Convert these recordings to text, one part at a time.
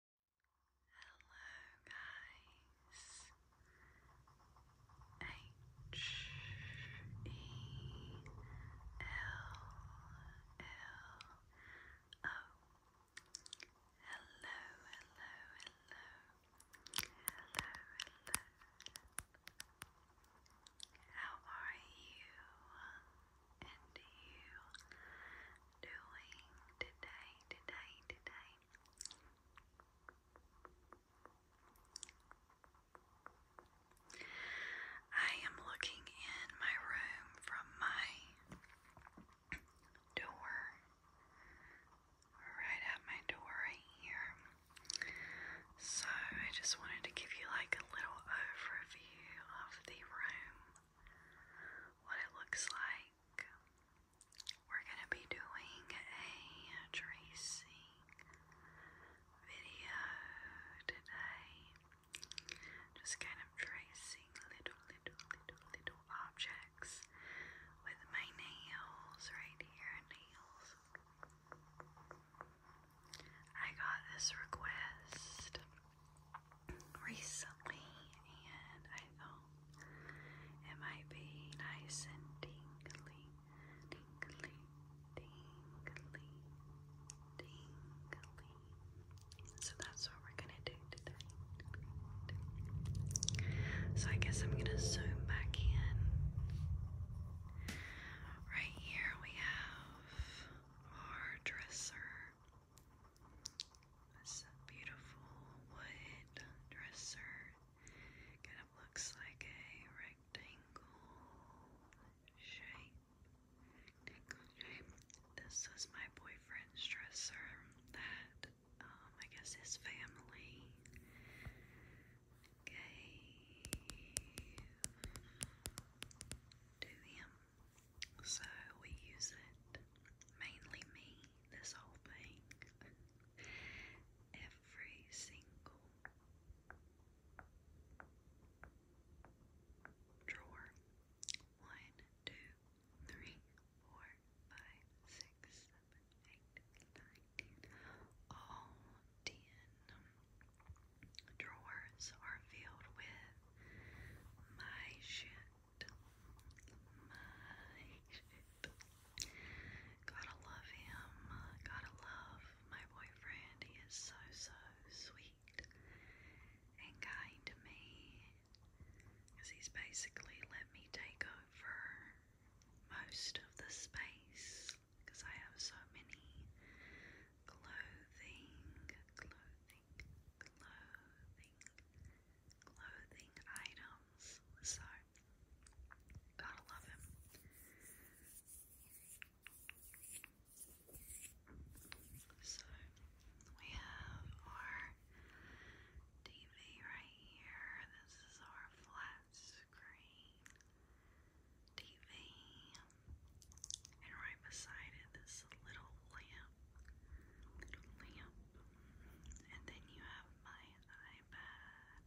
Hello guys. H E L L O. Hello, hello, hello. Hello, How are you? And you doing today, today, today? I am looking in my room from my door, right at my door right here. So I just wanted to give you like a little overview of the room, what it looks like we're going to be doing a tracing video today. Just kind of tracing little, little, little, little objects with my nails right here. Nails. I got this request recently, and I thought it might be nice and tingly, tingly, tingly, tingly. So that's what we're gonna do today. So I guess I'm gonna zoom back in. Right here we have our dresser. This beautiful wood dresser kind of looks like a rectangle shape. This was my boyfriend's dresser that um, I guess his family gave to him. So we use it, mainly me, this whole thing, every single drawer. One, two, three, four, five, six, seven, eight, nine, ten. All ten drawers are filled with my shit. Mike. Gotta love him. Gotta love my boyfriend. He is so, so sweet and kind to me. Because he's basically let me take over most of the space. Because I have so many clothing, clothing, clothing clothing items. So, gotta love him. So, we have our TV right here. This is our flat screen TV. And right beside it, this little lamp and then you have my iPad.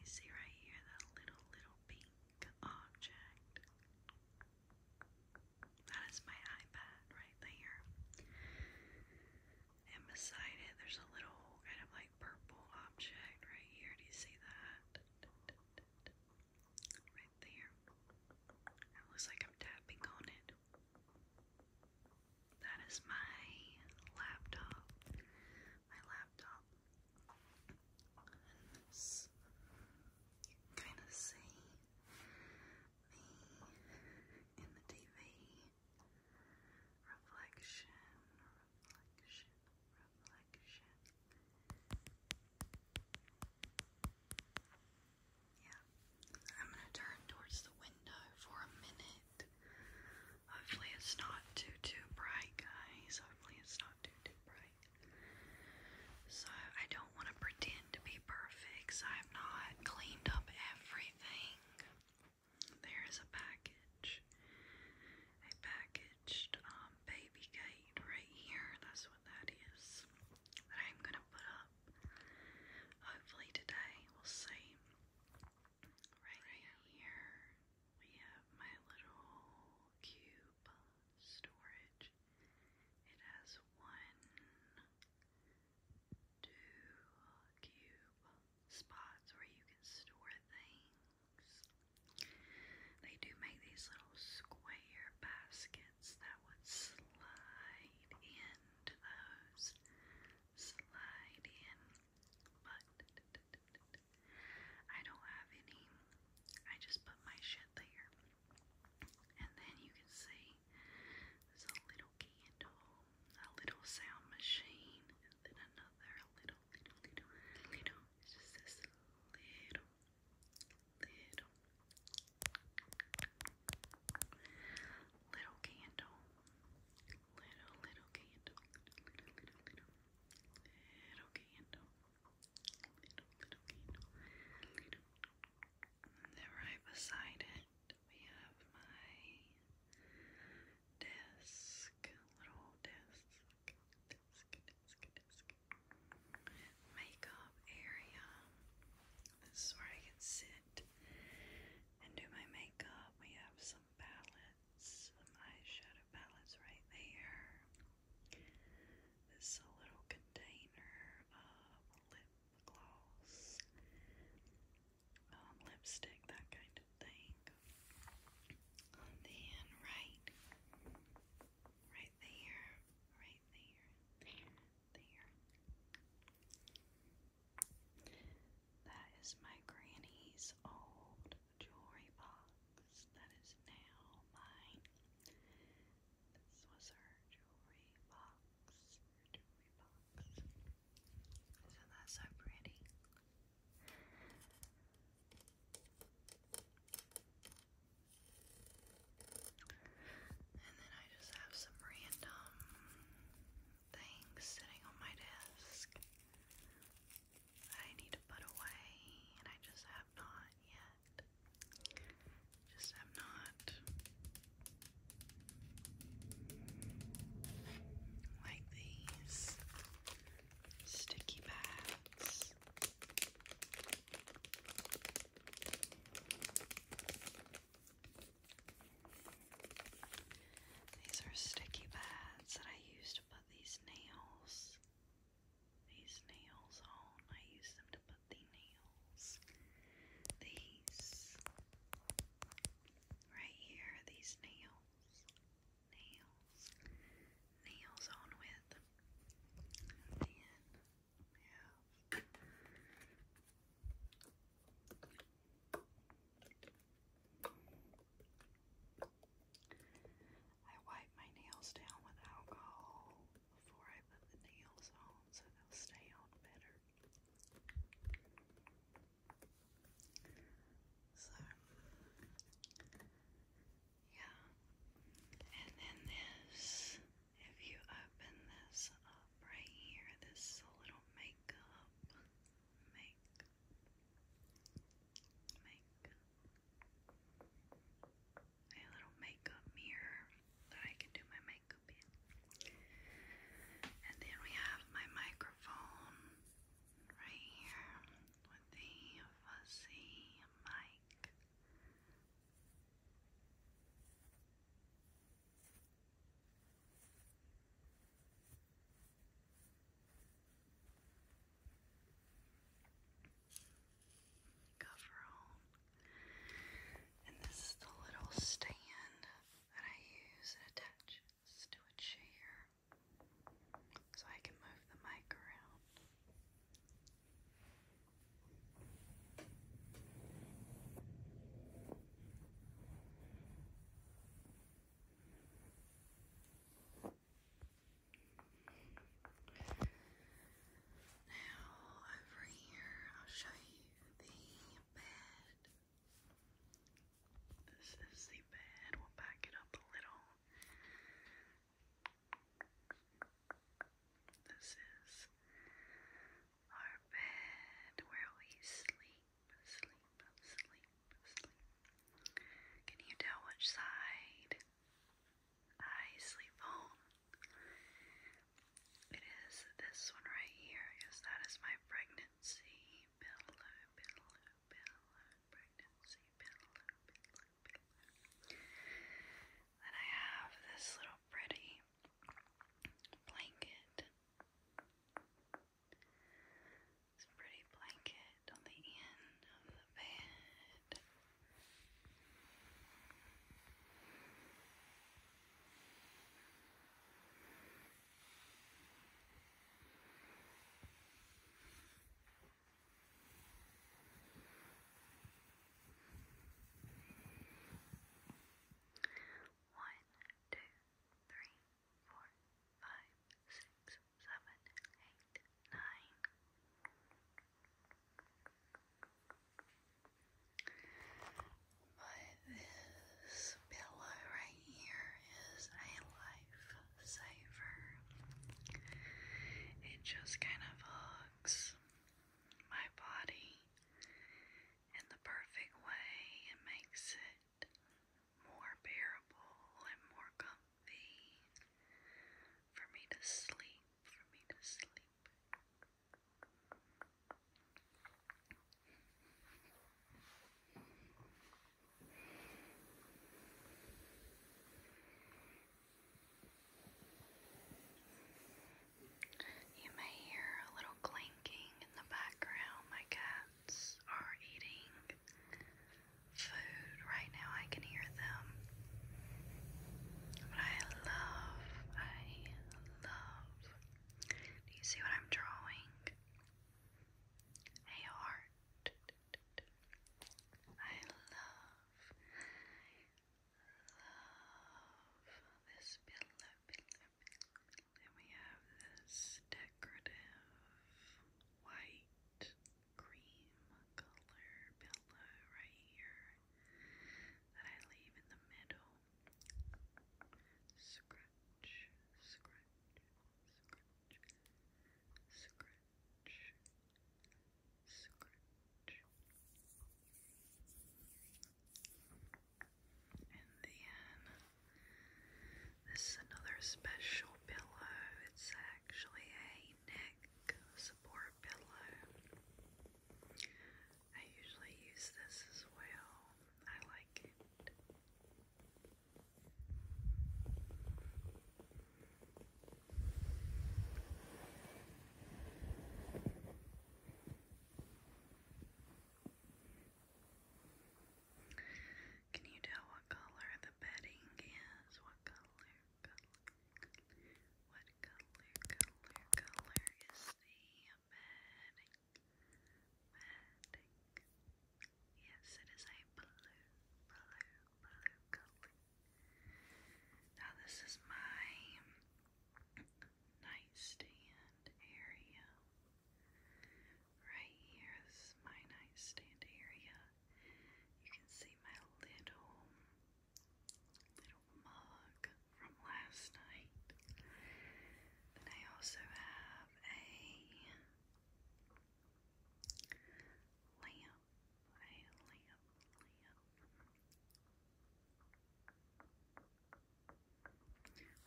You see right here that little, little pink object. That is my iPad right there. And beside it, there's a little kind of like purple object right here. Do you see that? Right there. It looks like I'm tapping on it. That is my laptop. My laptop. You kind of see me in the TV. Reflection, reflection, reflection. Yeah. I'm gonna turn towards the window for a minute. Hopefully it's not too too bright, guys. Hopefully it's not too too bright. So I don't want to pretend to be perfect. I have not cleaned up everything. There is a package. A packaged um, baby gate right here. That's what is. That I'm gonna put up. Hopefully today we'll see. right here we have my little cube storage. It has one, two cube spots where you can store things. They do make these little square baskets pockets that would slide into those, slide in, but I don't have any. I just put my shit there. And then you can see there's a little candle, a little sound machine, and then another little, little, little, little. It's just this little, little, little candle, little, little candle, little, little, little, little candle, little, little candle, little. right beside it, we have my desk, little desk, desk, desk, desk makeup area. This is where I can sit and do my makeup. We have some palettes, some eyeshadow palettes right there. This little container of lip gloss, um, lipstick, that kind of thing. And then right, right there, right there. That is my granny's old jewelry box. That is now mine. This was her jewelry box. Her jewelry so pretty? And then I just have some random things sitting on my desk I need to put away, and I just have not yet. Just have not. Like these sticky pads. These are sticky pads that I use to put these nails, these nails on. I use them to put the nails. These right here, these nails, nails, nails on with. Yeah. I wipe my nails down with alcohol before I put the nails on so they'll stay on better. So, yeah. And then this if you open this up right here, this is a little makeup, makeup, makeup, a little makeup mirror that I can do my makeup in. And then we have my microphone right here with the fuzzy mic. Coverall. And this is the little stand that I use. It attaches to a chair so I can move the mic around. Now, over here, I'll show you the bed. This is the bed. We'll back it up a little. This is our bed where we sleep, sleep, sleep, sleep. Can you tell which side I sleep on? It is this one right here, because that is my pregnancy pillow, pillow, pillow, pregnancy pillow, pillow, pillow. Then I have this little pretty blanket. It's pretty blanket on the end of the bed. One, two, three, four, five, six, seven, eight, nine. But this pillow right here is a lifesaver. It just kind of hugs my body in the perfect way it makes it more bearable and more comfy for me to sleep, for me to sleep. You may hear a little clinking in the background. My cats are eating food right now. I can hear them. But I love, I love. Do you see what I'm drawing? A heart. I love love this pillow, Then we have this decorative white cream color pillow right here that I leave in the middle. Scratch, scratch, scratch, scratch. And then this is another special pillow. It's actually a neck support pillow. I usually use this as well. I like it. Can you tell what color the bedding is? What color, color, color? What color is the bedding? Bedding. Yes, it is a blue, blue, blue color. Now this is my nightstand area. Right here is my nightstand area. You can see my little little mug from last night. Then I also have a lamp, a lamp, lamp.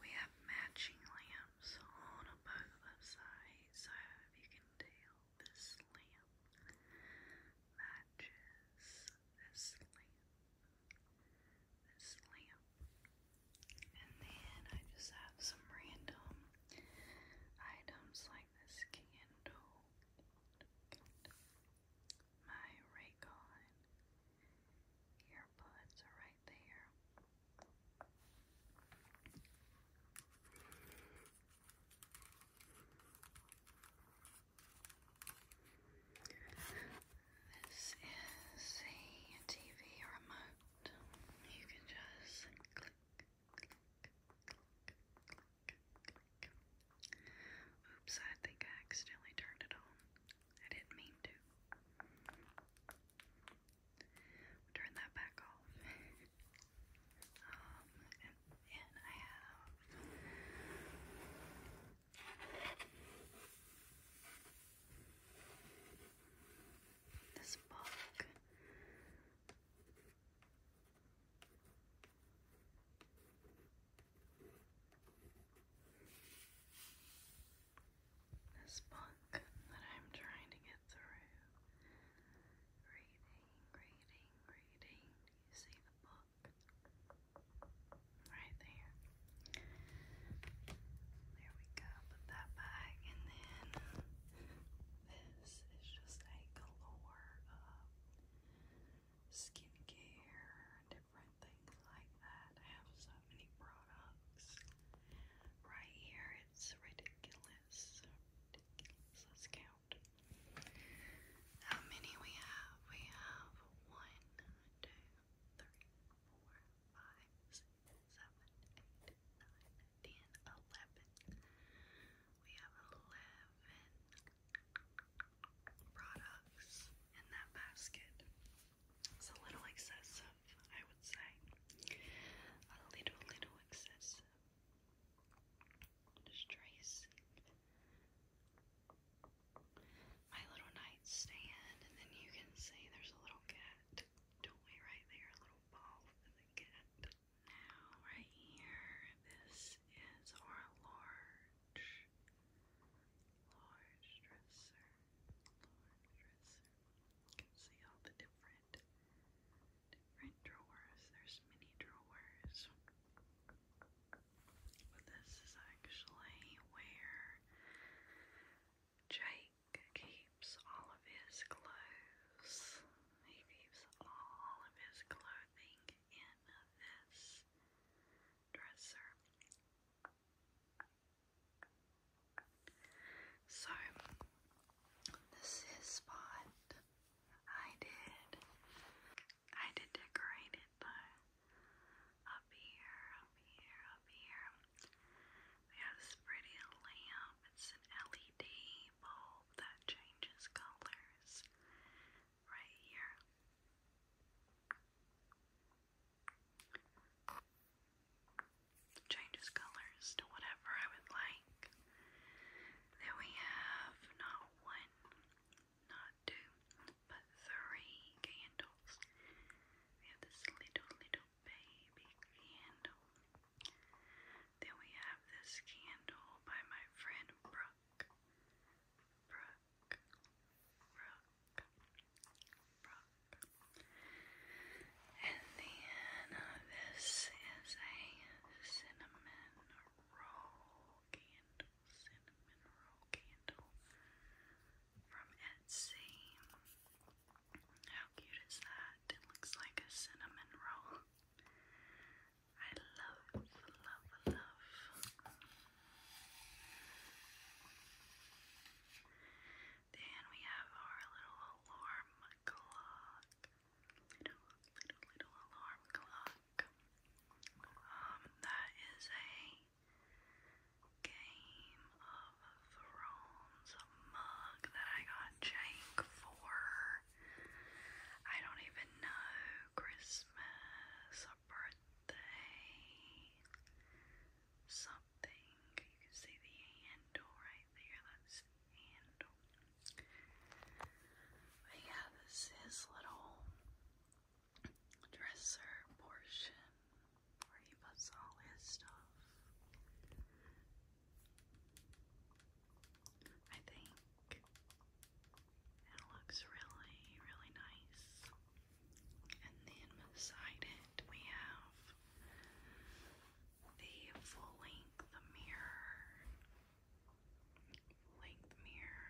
We have matching lamps on both sides, so if you can tell, this lamp matches this lamp, this lamp. And then I just have some random items like this candle my Raycon earbuds are right there. This is a TV remote. You can just click, Oops, I think I accidentally turned it on. I didn't mean to. turn that back off. um, and I have this book. This book that I'm trying to get through. Reading, reading, reading. you see the book? Right there. There we go. Put that back. And then this is just a galore of skincare, different things like that. have so many products. Right here, it's Ridiculous. Let's count. How many we have? We have one, two, three, four, five, six, seven, eight, nine, ten, eleven. We have eleven, products in that basket. It's a little excessive, I would say. A little, little excessive. Just tracing. My little nightstand, and then you can see there's a little cat. Don't we right there? A little ball for the cat. Now, right here, this is our large large dresser, You can see all the different, different drawers. There's many drawers. But this is actually where Jake keeps all of his clothes. He keeps all of his clothing in this this dresser. So, this is what I did. I did decorate it though. Up here, up here, up here. We have this pretty lamp. It's an LED bulb that changes colors right here. Changes colors to whatever I would like. Then we have not one, not two, but three candles. We have this little, little baby candle. Then we have this candle by my friend Brooke rock, rock. And then uh, this is a cinnamon roll candle, cinnamon roll candle from Etsy. How cute is that? It looks like a cinnamon roll. I love, love, love. Then we have our little alarm clock. Little, little, alarm clock. Um, that is a Game of Thrones mug that I got Jake for, I don't even know, Christmas birthday something. You can see the handle right there. That's handle. But yeah, this is little dresser portion where he puts all his stuff. I think it looks really, really nice. And then beside it, we have the full length mirror. length mirror.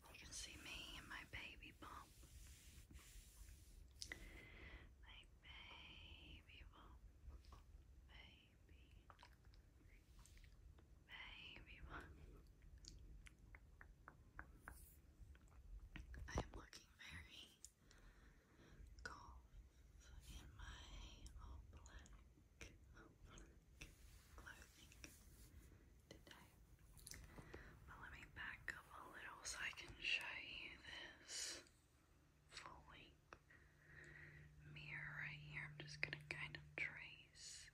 You can see me and my baby bump. My baby bump. Baby. Baby I am looking very golf in my all black clothing today. But let me back up a little so I can show you this full length mirror right here. I'm just gonna kind of trace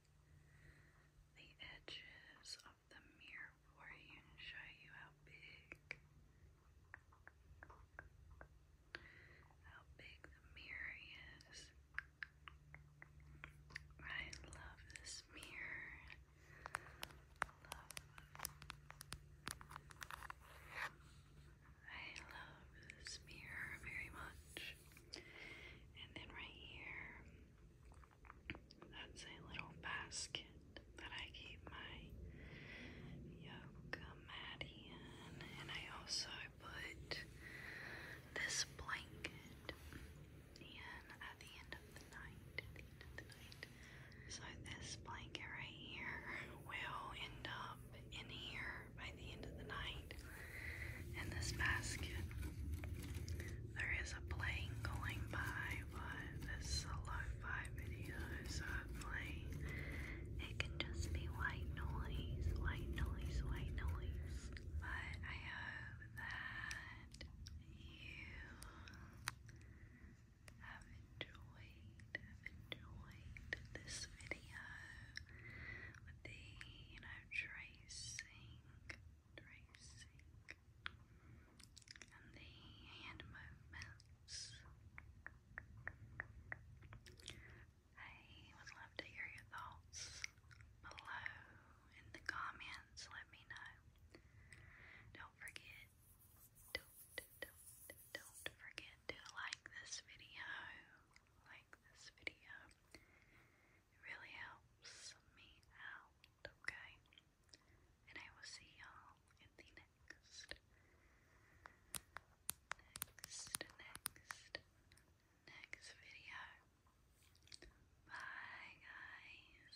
the edges of the mirror for you show you how big how big the mirror is. I love this mirror. I love this mirror very much. And then right here, that's a little basket that I keep my yoga mat in. And I also put this blanket in At the end of the night. So this blanket right here will end up in here by the end of the night. In this basket, there is a plane going by, but this is a video, so it can just be white noise, white noise, white noise. But I hope that you have enjoyed, enjoyed this video with the, you know, tracing, tracing, and the hand movements. I would love to hear your thoughts below in the comments. Let me know. Don't forget, don't, don't, don't forget to like this video. Like this video. It really helps me out, okay? And I will see y'all in the next, next, next, next video. Bye, guys.